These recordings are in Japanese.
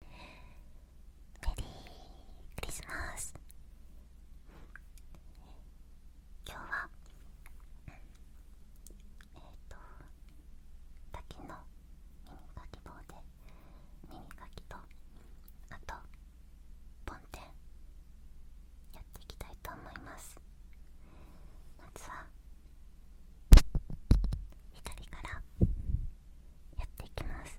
メリークリスマス今日はえっ、と滝の耳かき棒で耳かきとあとポンテンやっていきたいと思いますまずは左からやっていきます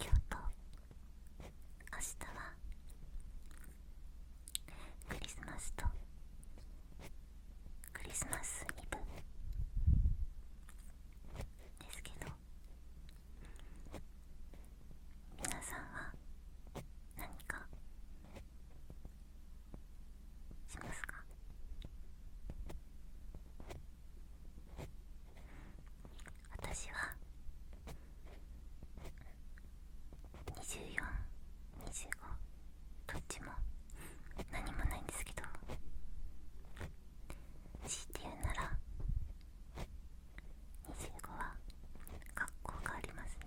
今日と明日はクリスマスとクリスマスイブですけど皆さんは何かしますか私は2425どっちも何もないんですけど強いて言うなら25は学校がありますね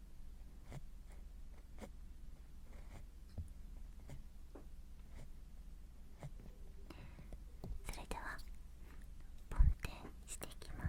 それでは梵天していきます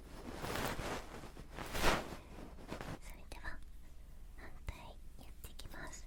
それでは反対やっていきます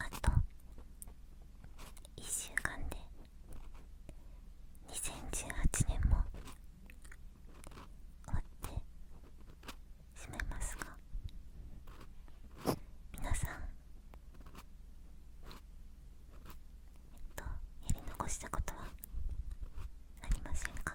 あと1週間で2018年も終わってしまいますが皆さんえっとやり残したことはありませんか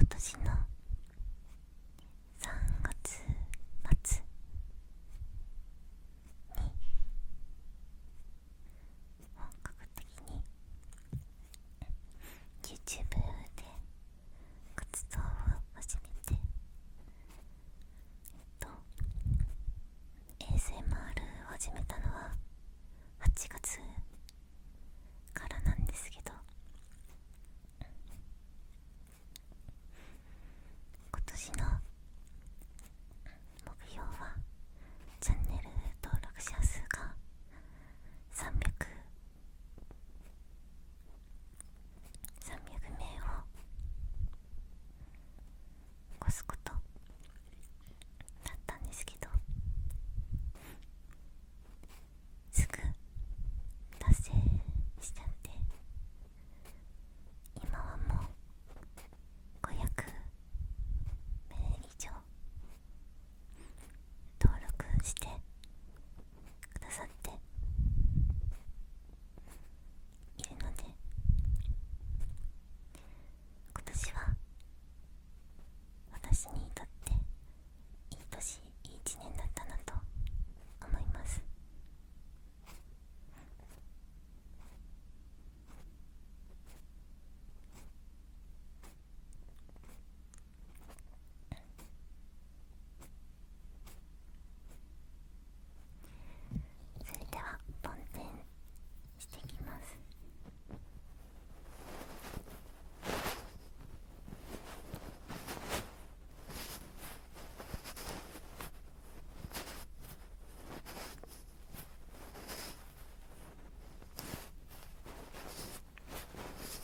今年の3月末に本格的に y o チ t ー b で活動を始めてえっと ASMR を始めたのは8月からなんですけど今年の目標はチャンネル登録者数が300 300名を越すことだったんですけどすぐ達成しちゃって今はもう500名以上登録してくださっているので今年は私にとっていい年いい一年だったなと思いますそれでは梵天してきます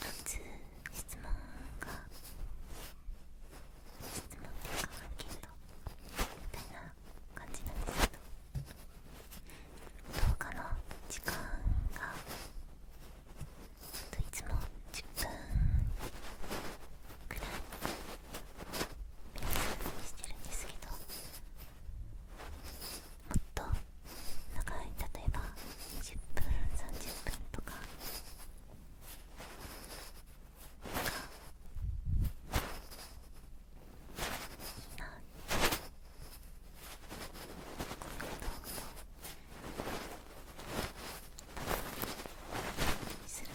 1つ質問が質問っていうかアンケーみたいな感じなんですけど動画の時間がちょっといつも10分ぐらい目安にしてるんですけどっと長い例えば20分30分とかなんかいいなこういう動画をするの。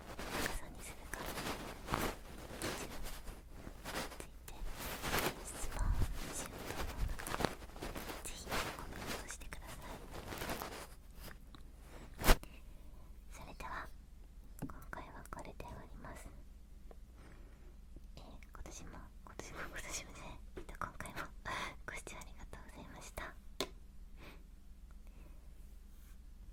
傘にするかついて質問しようと思うのでぜコメントしてくださいそれでは今回はこれで終わりますえ今年も今年も今年もね、えっと、今回もご視聴ありがとうございました